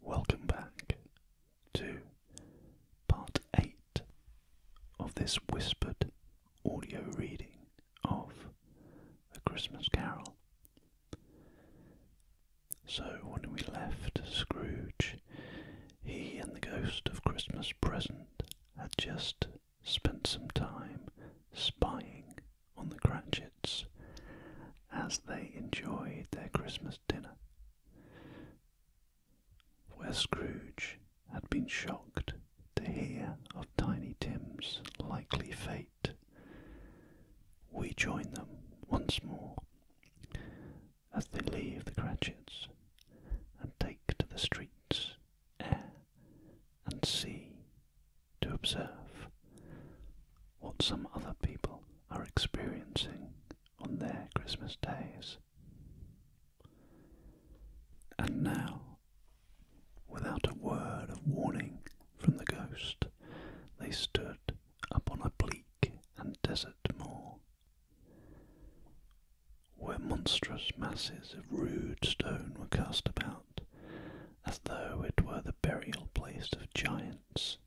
Welcome back to part 8 of this whispered audio reading of A Christmas Carol. So, when we left Scrooge, he and the ghost of Christmas present had just spent some time spying on the Cratchits as they enjoyed their Christmas dinner, where Scrooge had been shocked to hear of Tiny Tim's likely fate. We join them once more as they leave the Cratchits and take to the streets, air, and sea to observe what some other people are experiencing on their Christmas days. And now, without a word of warning from the ghost, they stood upon a bleak and desert moor, where monstrous masses of rude stone were cast about as though it were the burial place of giants,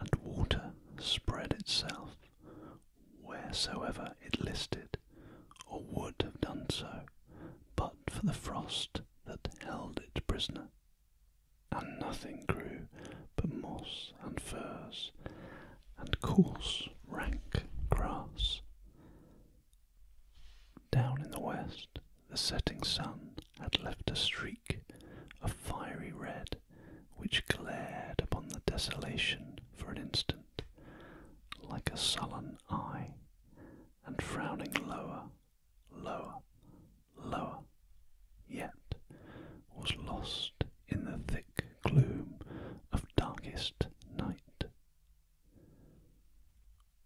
and water spread itself wheresoever it listed, or would have done so, but for the frost that held it prisoner. And nothing grew but moss and furze, and coarse rank grass. Down in the west, the setting sun had left a streak of fiery red which glared upon the desolation for an instant, like a sullen eye, and frowning lower, lower, lower, yet was lost in the thick gloom of darkest night.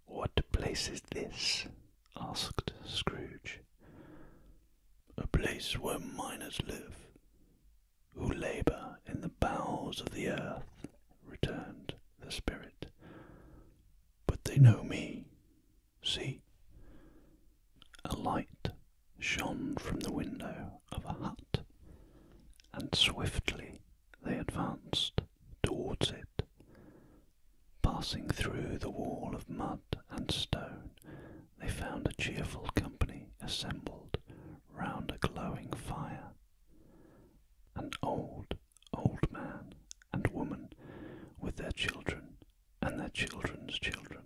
What place is this? asked Scrooge. A place where miners live, who labour in the bowels of the earth, returned the spirit. But they know me. See? A light shone from the window of a hut, and swiftly they advanced towards it. Passing through the wall of mud and stone, they found a cheerful company assembled round a glowing fire. An old, old man and woman with their children and their children's children,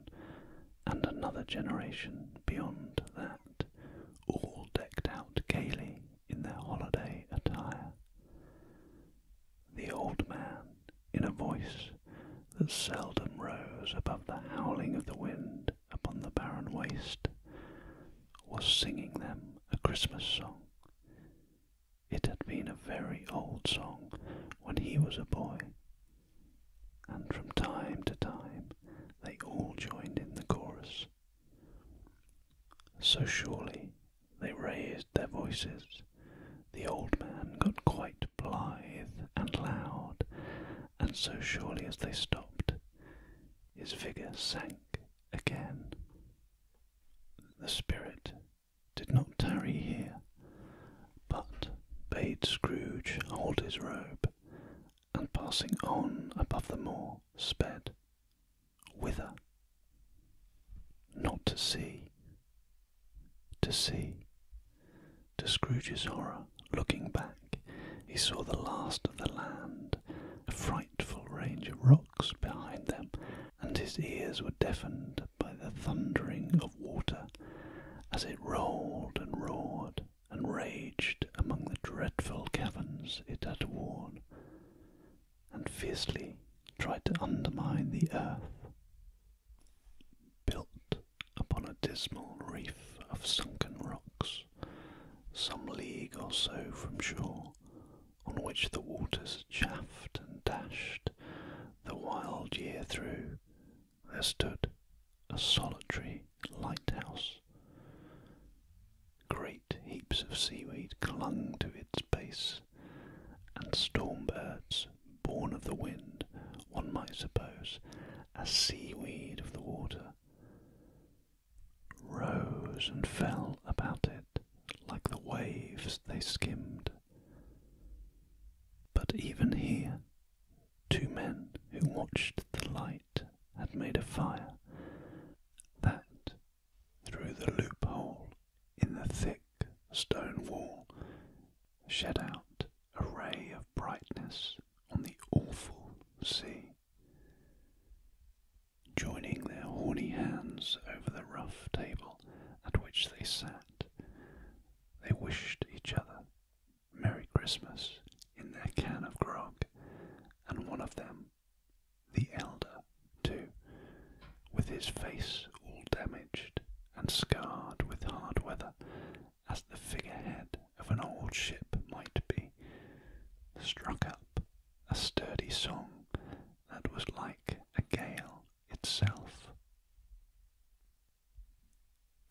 and another generation beyond that, all decked out gaily in their holiday attire the old man, in a voice that seldom rose above the howling of the wind upon the barren waste, was singing them a Christmas song. It had been a very old song when he was a boy, and from time to time they all joined in the chorus. So surely they raised their voices. The old man got quite blithe and loud, and so surely as they stopped, his figure sank again. The spirit did not tarry here, but bade Scrooge hold his robe, and passing on above the moor, sped whither? Not to see. To see. To Scrooge's horror, looking back, he saw the last of the land, a frightful range of rocks behind them, and his ears were deafened by the thundering of water as it rolled and roared and raged among the dreadful caverns it had worn and fiercely tried to undermine the earth. Built upon a dismal reef of sunken rocks, some league or so from shore, on which the waters chafed and dashed the wild year through, there stood a solitary lighthouse. Great heaps of seaweed clung to its base, and storm birds, born of the wind, one might suppose, a seaweed of the water, rose and fell about it like the waves they skimmed. But even here, two men who watched the light had made a fire. That through the loophole in the thick stone wall shed out a ray of brightness on the awful sea. Joining their horny hands over the rough table at which they sat, they wished each other Merry Christmas in their can of grog, and one of them the elder, too, with his face all damaged and scarred with hard weather, as the figurehead of an old ship might be, struck up a sturdy song that was like a gale itself.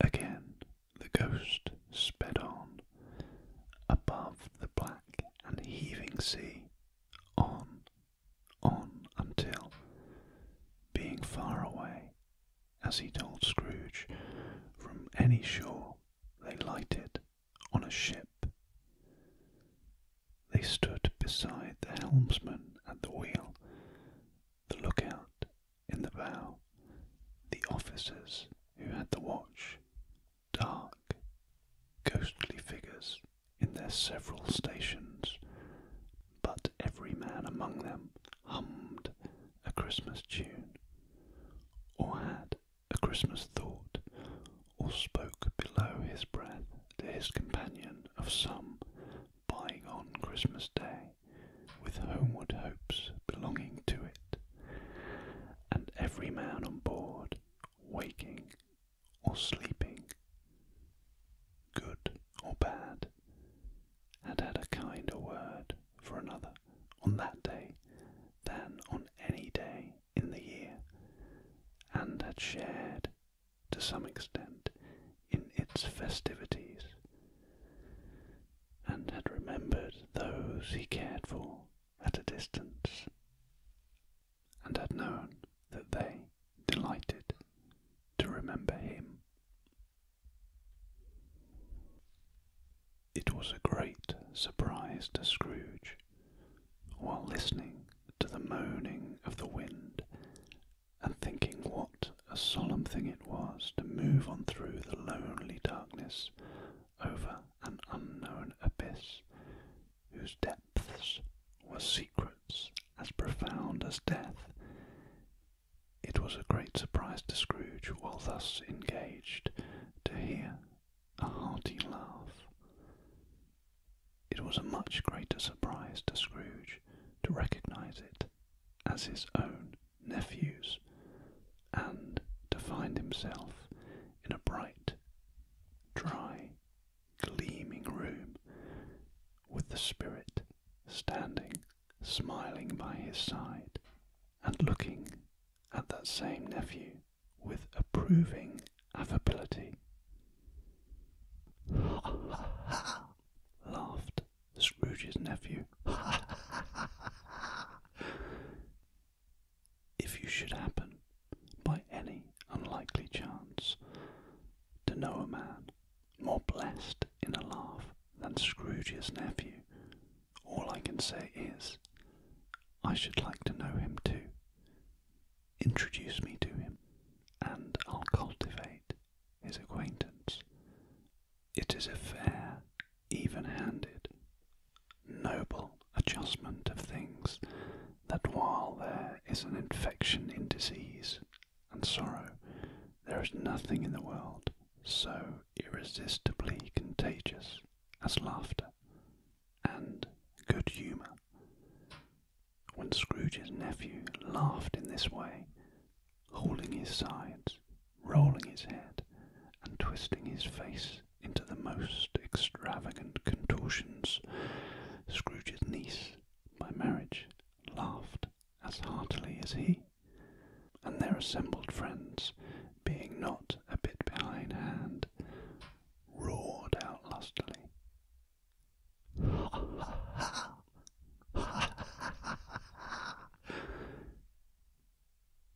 Again the ghost sped on above the black and heaving sea on, on until, being far away, as he told Scrooge, from any shore, they lighted on a ship. They stood beside the helmsman at the wheel, the lookout in the bow, the officers who had the watch dark, ghostly figures in their several stations, but every man among them hummed a Christmas tune, or had a Christmas thought, or spoke below his breath to his companion of some bygone Christmas day, with homeward hopes belonging to it. And every man on board waking or sleeping, good or bad, had had a kinder word for another on that day than on any day in the year, and had shared to some extent in its festivities, and had remembered those he cared for at a distance, and had known that they delighted to remember him. It was a great surprise to Scrooge, while listening to the moaning of the wind and thinking what a solemn thing it was to move on through the lonely darkness over an unknown abyss whose depths were secrets as profound as death. It was a great surprise to Scrooge, while thus engaged, to hear a hearty laugh. It was a much greater surprise to Scrooge to recognize it as his own nephew's, and to find himself in a bright dry, gleaming room with the spirit standing, smiling by his side, and looking at that same nephew with approving affability. Ha ha ha! laughed Scrooge's nephew. Ha ha ha! if you should happen, by any unlikely chance, to know a man more blessed in a laugh than Scrooge's nephew, all I can say is, I should like to know him too. Introduce me to him, and I'll cultivate his acquaintance. It is a fair, even handed, noble adjustment of things that while there is an infection in disease and sorrow, there is nothing in the world so irresistibly contagious as laughter and good humour. When Scrooge's nephew laughed in this way, hauling his sides, rolling his head, and twisting his face into the most extravagant contortions, Scrooge's niece, by marriage, laughed as heartily as he, and their assembled friends, being not a bit behindhand, roared out lustily. Ha ha ha! Ha ha ha!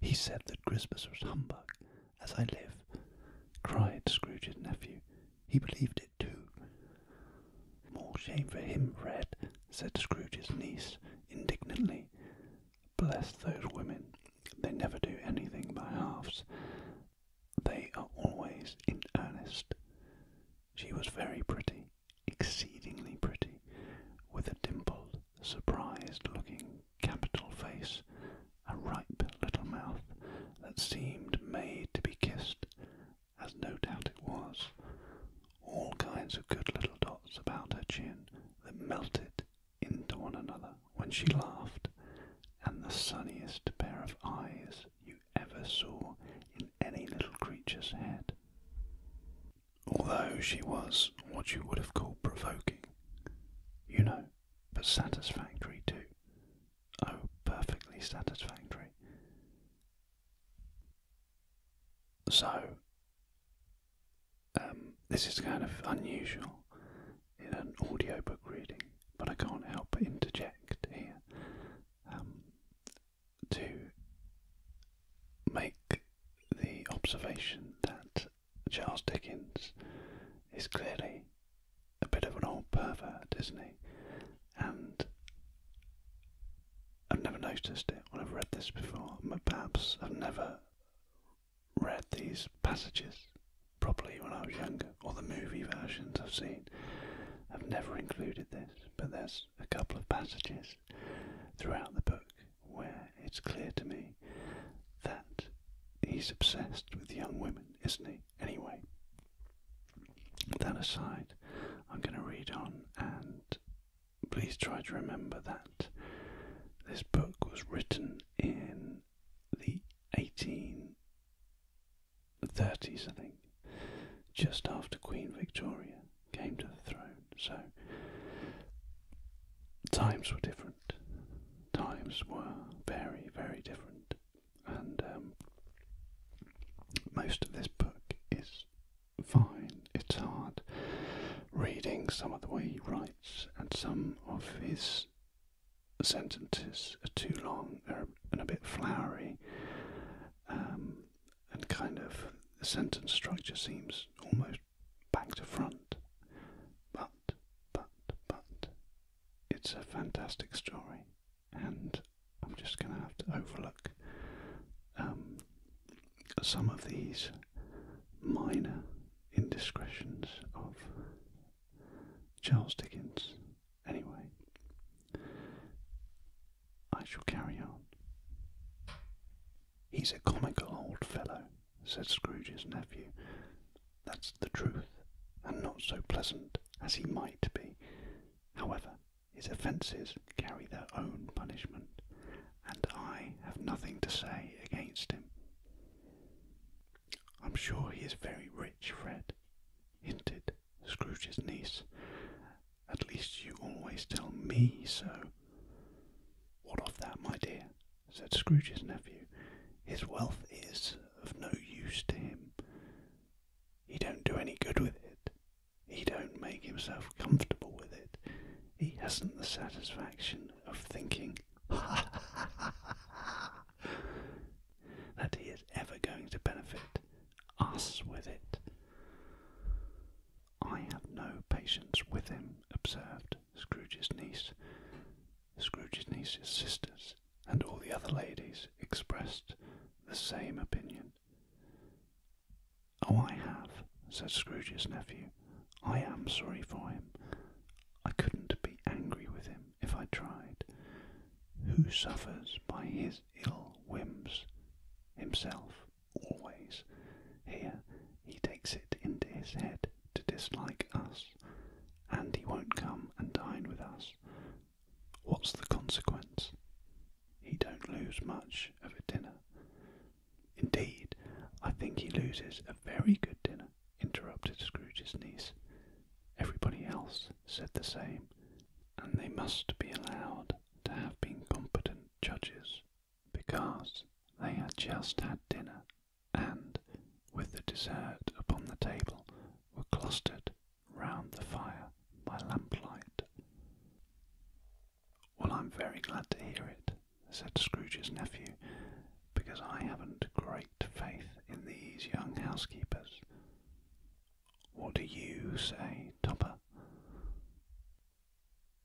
He said that Christmas was humbug, as I live, cried Scrooge's nephew. He believed it too. More shame for him, Fred, said Scrooge's niece indignantly. Bless those women. They never do anything by halves. They are always in earnest. She was very pretty, exceedingly pretty, with a dimple surprised looking capital face, a ripe little mouth that seemed made to be kissed, as no doubt it was, all kinds of good little dots about her chin that melted into one another when she laughed, and the sunniest pair of eyes you ever saw in any little creature's head. Although she was what you would have called provoking, you know, but satisfactory too. Oh, perfectly satisfactory. So, um, this is kind of unusual in an audiobook reading, but I can't help but interject here um, to make the observation that Charles Dickens is clearly a bit of an old pervert, isn't he? And I've never noticed it when I've read this before, but perhaps I've never read these passages properly when I was younger, or the movie versions I've seen. have never included this, but there's a couple of passages throughout the book where it's clear to me that he's obsessed with young women, isn't he? Anyway, that aside, I'm going to read on and please try to remember that this book was written in the 1830s, I think, just after Queen Victoria came to the throne. So times were different. Times were very, very different, and um, most of this book is fine. It's hard reading some of the way he writes, and some of his sentences are too long and a bit flowery, um, and kind of sentence structure seems almost back to front. But, but, but, it's a fantastic story, and I'm just going to have to overlook um, some of these minor indiscretions of Charles Dickens. Anyway, I shall carry on. He's a comical old fellow, said Scrooge's nephew. That's the truth, and not so pleasant as he might be. However, his offences carry their own punishment, and I have nothing to say against him. I'm sure he is very rich, Fred, hinted Scrooge's niece. At least you always tell me so. What of that, my dear? said Scrooge's nephew. His wealth is of no use to him. He don't do any good with it. He don't make himself comfortable with it. He hasn't the satisfaction of thinking ha ha ha ha that he is ever going to benefit us with it. I have no patience with him, observed Scrooge's niece, Scrooge's niece's sisters, and all the other ladies expressed the same opinion. "Oh, I have," said Scrooge's nephew. "I am sorry for him. I couldn't be angry with him if I tried. Who suffers by his ill whims? Himself always. Here, he takes it into his head to dislike us, and he won't come and dine with us. What's the consequence? He don't lose much of a dinner. Indeed, I think he loses a very good dinner, interrupted Scrooge's niece. Everybody else said the same, and they must be allowed to have been competent judges because they had just had dinner, and, with the dessert upon the table, were clustered round the fire by lamplight. Well, I'm very glad to hear it, said Scrooge's nephew, because I haven't great faith in these young housekeepers. What do you say, Topper?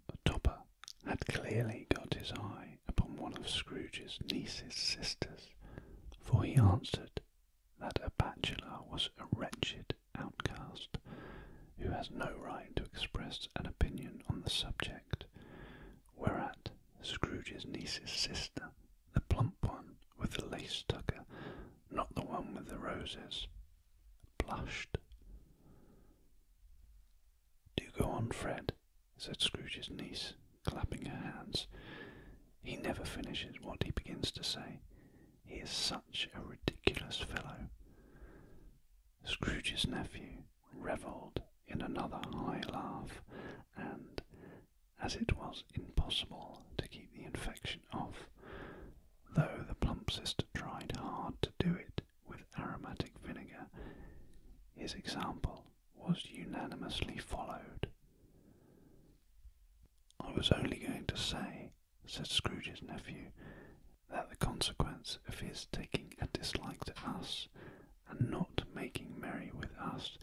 The Topper had clearly got his eye upon one of Scrooge's niece's sisters, for he answered that a bachelor was a wretched outcast who has no right to express an opinion on the subject, whereat Scrooge's niece's sister, the plump one with the lace tucker, not the one with the roses, blushed. Do go on, Fred, said Scrooge's niece, clapping her hands. He never finishes what he begins to say. He is such a ridiculous fellow. Scrooge's nephew revelled in another high laugh, and, as it was impossible to keep the infection off, though the plump sister tried hard to do it, with aromatic vinegar, his example was unanimously followed. I was only going to say, said Scrooge's nephew, that the consequence of his taking a dislike to us and not making merry with us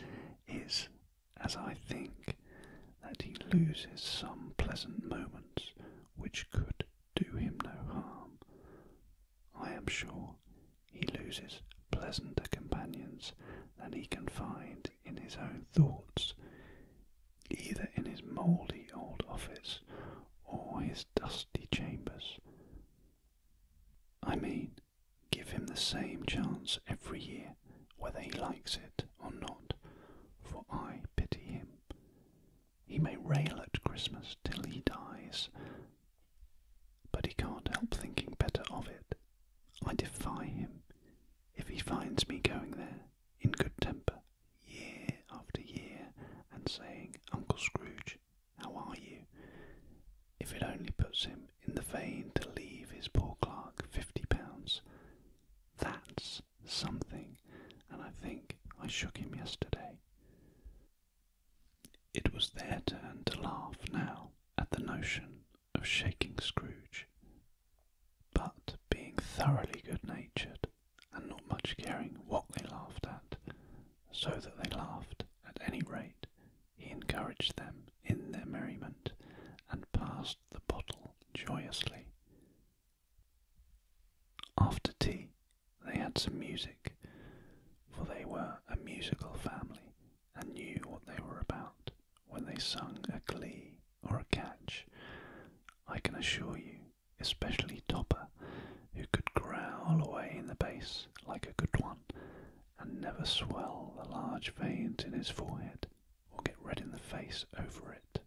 is, as I think, that he loses some pleasant moments which could do him no harm. I am sure he loses pleasanter companions than he can find in his own thoughts, either in his mouldy old office or his dusty chambers. I mean, give him the same chance every year, whether he likes it or not, for I pity him. He may rail at Christmas till he dies, but he can't help thinking better of it. I defy him if he finds me going there in good temper year after year and saying, Uncle Scrooge, how are you? If it only puts him in the vein to leave his poor clerk fifty pounds. That's something, and I think I shook him yesterday. It was their turn to laugh now at the notion of shaking Scrooge. But being thoroughly good natured and not much caring what they laughed at, so that they laughed at any rate, he encouraged them in their merriment and passed the bottle joyously, after tea, they had some music, for they were a musical family and knew what they were about when they sung a glee or a catch. I can assure you, especially Topper, who could growl away in the bass like a good one and never swell the large veins in his forehead or get red in the face over it.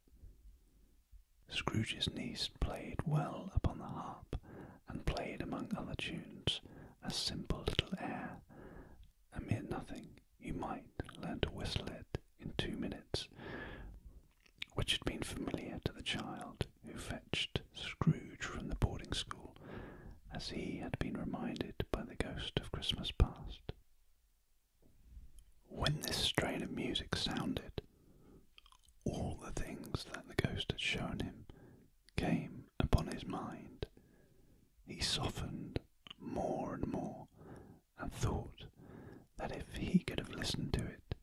Scrooge's niece played well upon the harp, and played among other tunes a simple little air, a mere nothing. You might learn to whistle it in two minutes, which had been familiar to the child who fetched Scrooge from the boarding school, as he had been reminded by the ghost of Christmas past. When this strain of music sounded, all the things that the ghost had shown him came upon his mind. He softened more and more and thought that if he could have listened to it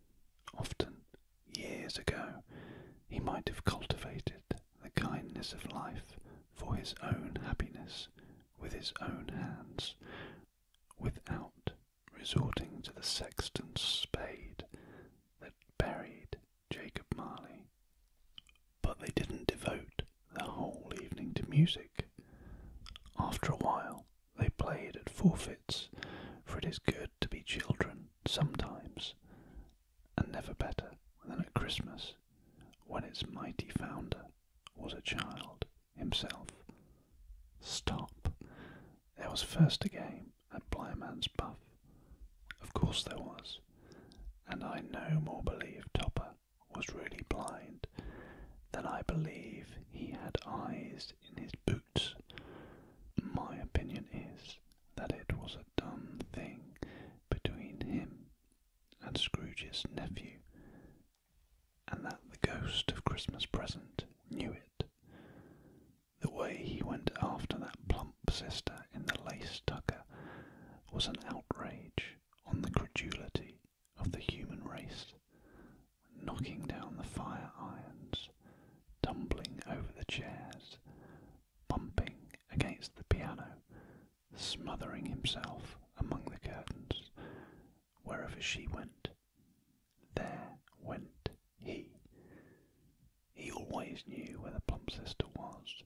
often years ago, he might have cultivated the kindness of life for his own happiness with his own hands without resorting to the sexton's spade that buried Jacob Marley. But they didn't devote the whole evening to music. After a while, they played at forfeits, for it is good to be children sometimes, and never better than at Christmas, when its mighty founder was a child himself. Stop, there was first a game at Blyman's Buff. Of course there was, and I no more believe Topper was really blind than I believe he had eyes in his boots. My opinion is that it was a done thing between him and Scrooge's nephew and that the ghost of Christmas present knew it. The way he went after that plump sister in the lace tucker was an outrage on the credulity of the human race, knocking down the fire irons, tumbling over the chairs, bumping against the piano, smothering himself among the curtains, wherever she went there went he. He always knew where the plump sister was.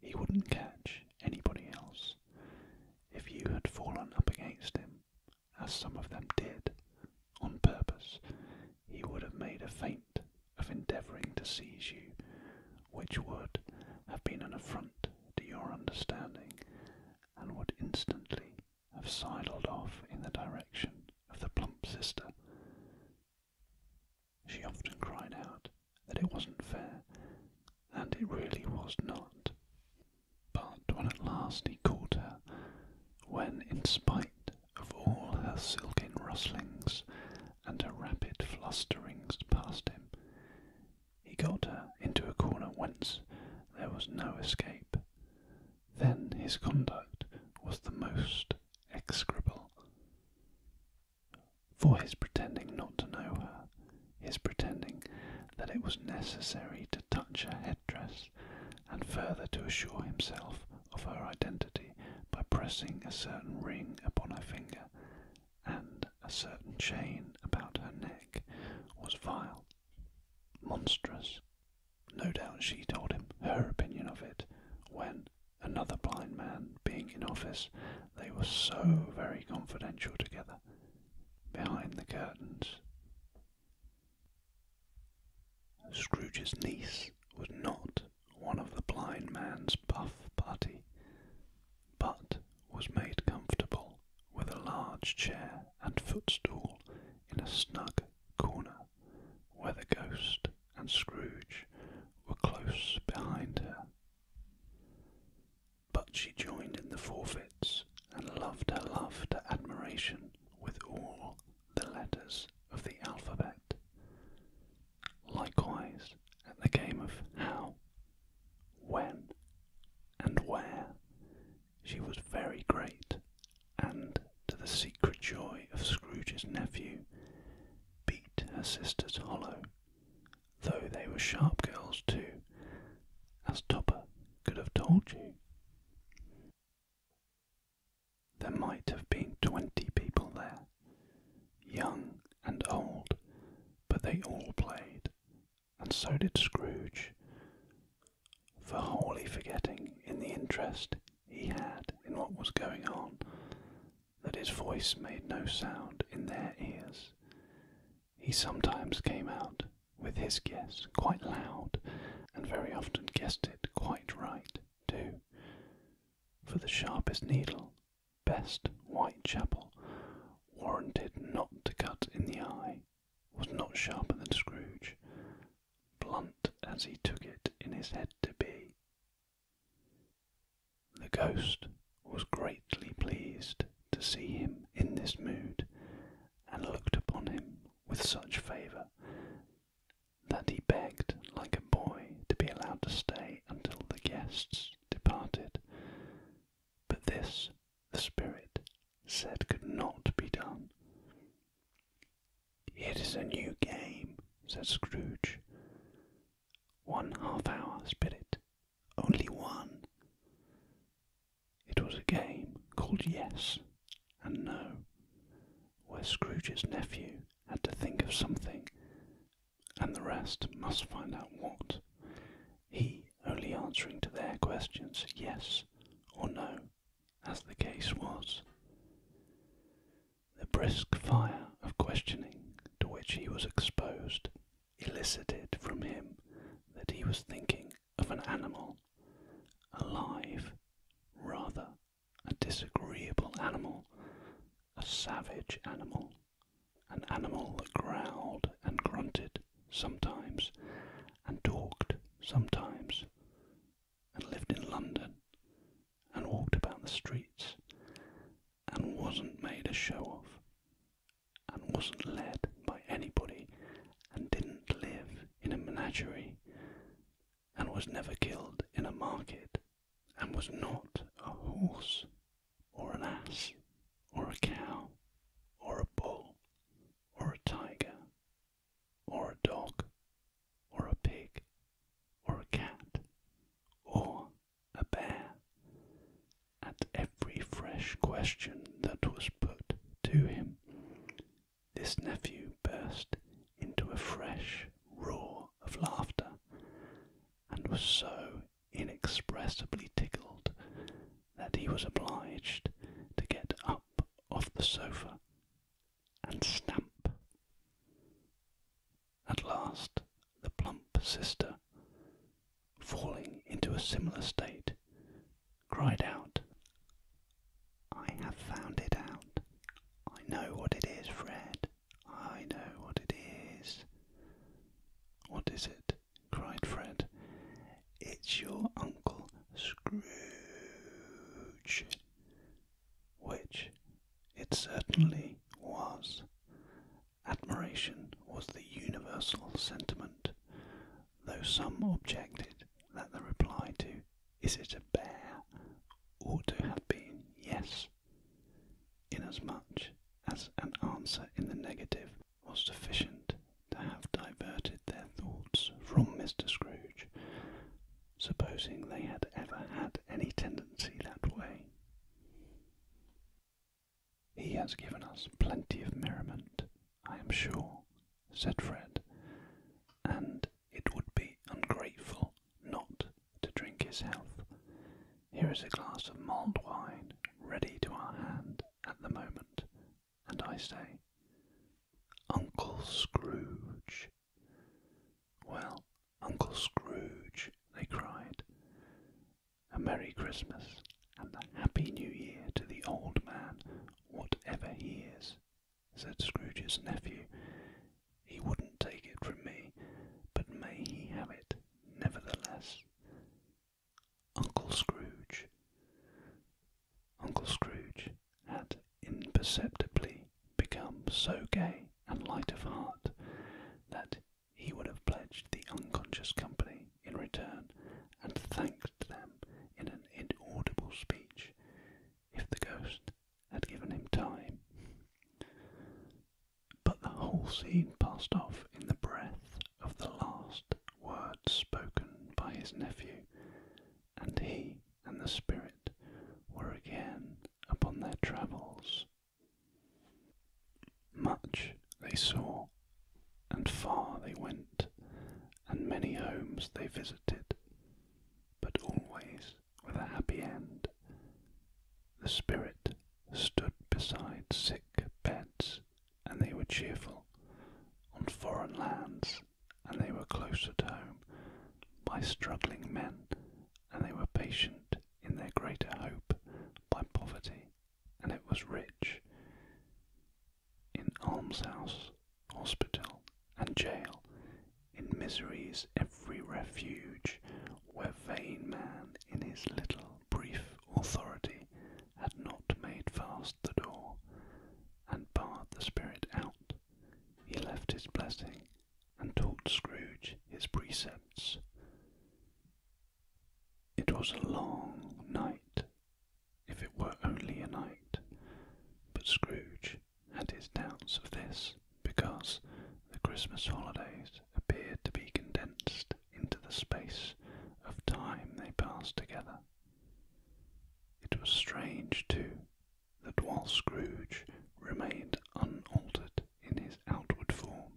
He wouldn't catch anybody else. If you had fallen up against him, as some of them did, on purpose, he would have made a feint of endeavouring to seize you, which would have been an affront to your understanding, and would instantly have sidled off in the direction of the plump sister. She often cried out that it wasn't fair, and it really was not. But when at last he caught her, when, in spite of all her silken rustlings and her rapid flusterings past him, he got her into a corner whence there was no escape, then his conduct was the most execrable. For his pretending not to know her, his pretending that it was necessary to touch her head dress, and further to assure himself of her identity by pressing a certain ring upon her finger and a certain chain about her neck, was vile monstrous. No doubt she told him her opinion of it when another blind man being in office, they were so very confidential together behind the curtains. Scrooge's niece was not one of the blind man's puff party, but was made comfortable with a large chair and footstool in a snug corner, where the ghost and Scrooge were close behind her. But she joined in the forfeits and loved her love to admiration with all the letters of the alphabet. Likewise, at the game of how, when, and where, she was very great, and, to the secret joy of Scrooge's nephew, beat her sisters hollow, though they were sharp girls too, as Topper could have told you. There might have been twenty people there, young and old, but they all played, and so did Scrooge, for wholly forgetting, in the interest he had in what was going on, that his voice made no sound in their ears. He sometimes came out with his guess quite loud, and very often guessed it quite right, too. For the sharpest needle, best Whitechapel, warranted not to cut in the eye was not sharper than Scrooge, blunt as he took it in his head to be. The ghost was greatly pleased to see him in this mood, and looked upon him with such favour that he begged like a boy to be allowed to stay until the guests departed. But this the spirit said could not be done. It is a new game, said Scrooge. One half hour, spirit. Only one. It was a game called Yes and No, where Scrooge's nephew had to think of something, and the rest must find out what he only answering to their questions yes or no, as the case was. The brisk fire of questioning to which he was exposed elicited from him that he was thinking of an animal, alive, rather a disagreeable animal, a savage animal, an animal that growled and grunted sometimes and talked sometimes and lived in London and walked about the streets and wasn't made a show of and wasn't led by anybody and didn't live in a menagerie and was never killed in a market and was not a horse or an ass or a cow or a bull or a tiger, or a dog, or a pig, or a cat, or a bear. At every fresh question that was put to him, this nephew burst into a fresh roar of laughter, and was so inexpressibly tickled that he was obliged to get up off the sofa and stamp. At last, the plump sister, falling into a similar state, cried out, I have found it out. I know what it is, Fred. I know what it is. What is it? cried Fred. It's your Uncle Scrooge. Which it certainly was. Admiration was the universal sentiment, though some objected that the reply to Is it a bear? ought to have been Yes, inasmuch as an answer in the negative was sufficient to have diverted their thoughts from Mr. Scrooge, supposing they had ever had any tendency that way. He has given us plenty of merriment, I am sure, said Fred, and it would be ungrateful not to drink his health. Here is a glass of mulled wine ready to our hand at the moment, and I say, Uncle Scrooge. Well, Uncle Scrooge, they cried. A Merry Christmas and a Happy New Year to the old man, whatever he is, said Scrooge's nephew. He wouldn't take it from me, but may he have it nevertheless. Uncle Scrooge. Uncle Scrooge had imperceptibly become so gay and light of heart that he would have pledged the unconscious company in return and thanked them in an inaudible speech if the ghost had given him time. But the whole scene passed off in the breath of the last words spoken by his nephew, and he and the spirit were again upon their travels. Much they saw, and far they went, and many homes they visited, but always with a happy end. The spirit stood beside sick beds and they were cheerful. On foreign lands, and they were close at home by struggling men, and they were patient in their greater hope by poverty, and it was rich. In almshouse, hospital, and jail, in misery's every refuge, where vain man in his little brief authority had not made fast the door and barred the spirit out, he left his blessing and taught Scrooge his precepts. It was a long night, if it were only a night, but Scrooge had his doubts of this because the Christmas holidays appeared to be condensed into the space of time they passed together. It was strange, too, that while Scrooge remained unaltered in his outward form,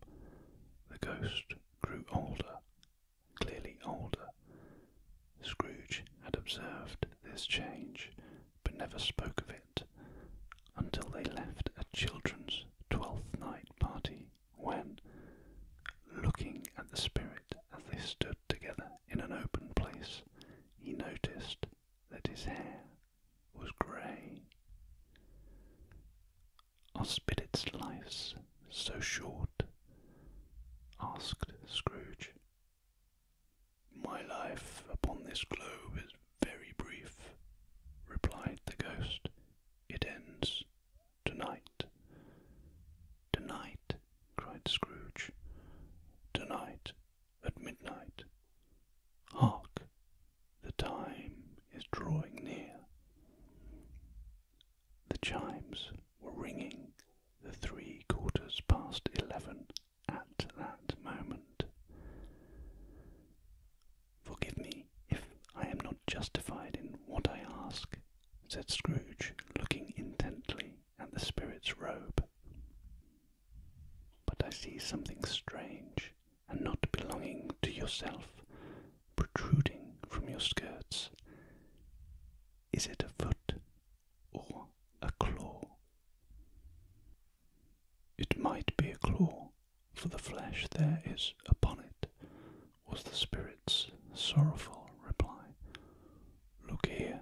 the ghost grew older, clearly older. Scrooge had observed this change, but never spoke of it until they left a children's twelfth night party when, looking at the spirit as they stood together in an open place, he noticed that his hair was grey. Are spirits' lives so short? asked Scrooge. My life upon this globe is very brief, replied the ghost. It ends Tonight. Tonight, cried Scrooge. Tonight, at midnight. Hark! The time is drawing near. The chimes were ringing the three quarters past eleven at that moment. Forgive me if I am not justified in what I ask, said Scrooge, looking intently at the spirit's robe. But I see something strange and not belonging to yourself protruding from your skirts. Is it a foot or a claw? It might be a claw, for the flesh there is upon it, was the Spirit's sorrowful reply. Look here.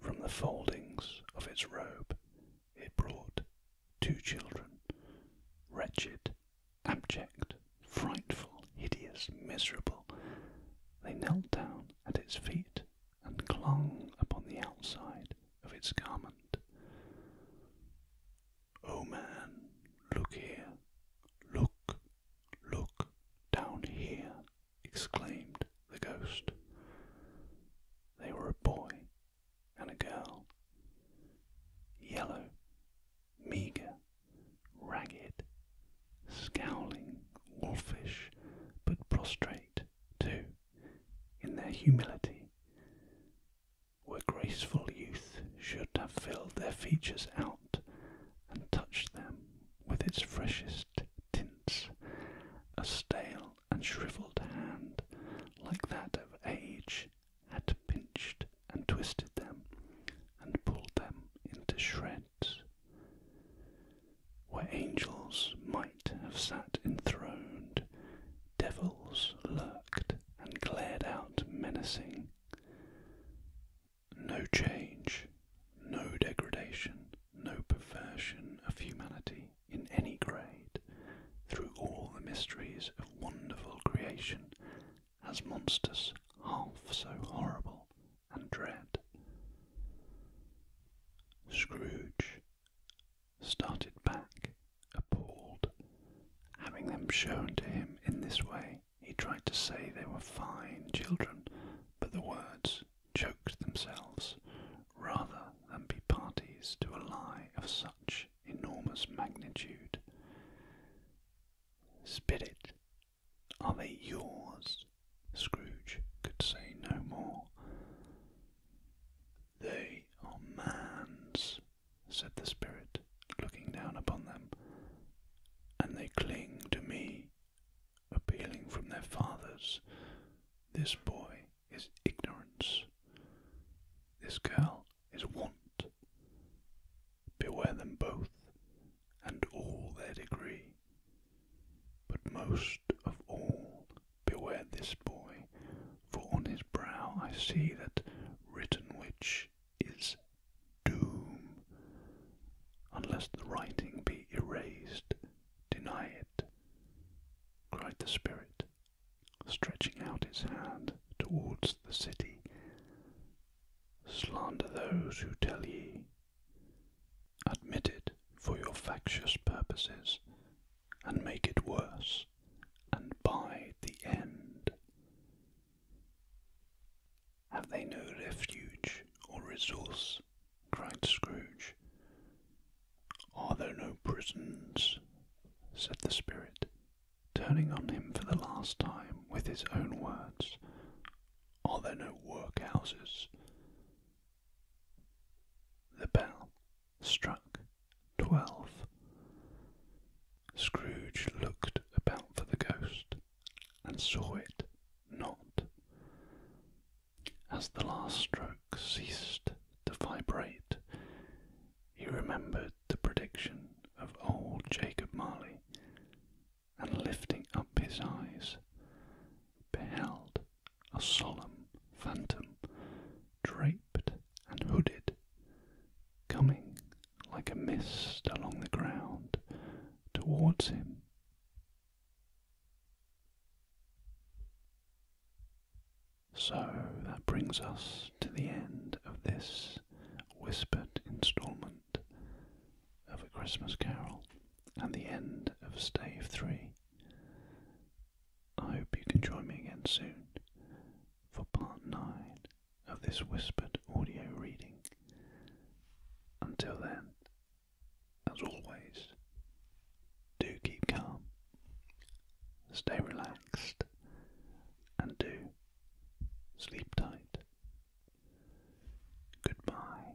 From the foldings of its robe it brought two children, wretched, abject, frightful, hideous, miserable. They knelt down at its feet and clung upon the outside of its garment. Oh man, look here, look, look, down here, exclaimed the ghost. They were a boy and a girl. Yellow, meagre, ragged, scowling, wolfish, but prostrate, too, in their humility where graceful youth should have filled their features out and touched them with its freshest tints, a stale and shrivelled hand like that of age had pinched and twisted them and pulled them into shreds. Where angels might have sat enthroned, devils lurked and glared out menacing. No change, no degradation, no perversion of humanity in any grade, through all the mysteries of wonderful creation, as monsters half so horrible and dread. Scrooge, started back, appalled. Having them shown to him in this way, he tried to say they were fine children, but the words choked themselves rather than be parties to a lie of such enormous magnitude. Spirit, Are they yours? Scrooge could say no more. They are man's, said the spirit, looking down upon them, and they cling to me, appealing from their fathers. This boy is ignorance. This girl is want. Beware them both, and all their degree. But most of all, beware this boy, for on his brow I see that written which is doom. Unless the writing be erased, deny it, cried the spirit, stretching out his hand towards the city. Slander those who tell ye. Admit it for your factious purposes, and make it worse, and by the end. Have they no refuge or resource? cried Scrooge. Are there no prisons? said the spirit, turning on him for the last time with his own words. Are there no workhouses? The bell struck twelve. Scrooge looked about for the ghost and saw it not. As the last stroke ceased to vibrate, he remembered the prediction of old Jacob Marley, and lifting up his eyes, beheld a solemn phantom draped and hooded, coming like a mist along the ground towards him. So that brings us to the end of this whispered installment of A Christmas Carol and the end of Stave 3. I hope you can join me again soon for part 9 of this whispered audio reading. Until then, as always, do keep calm, stay relaxed, and do sleep tight. Goodbye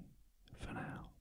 for now.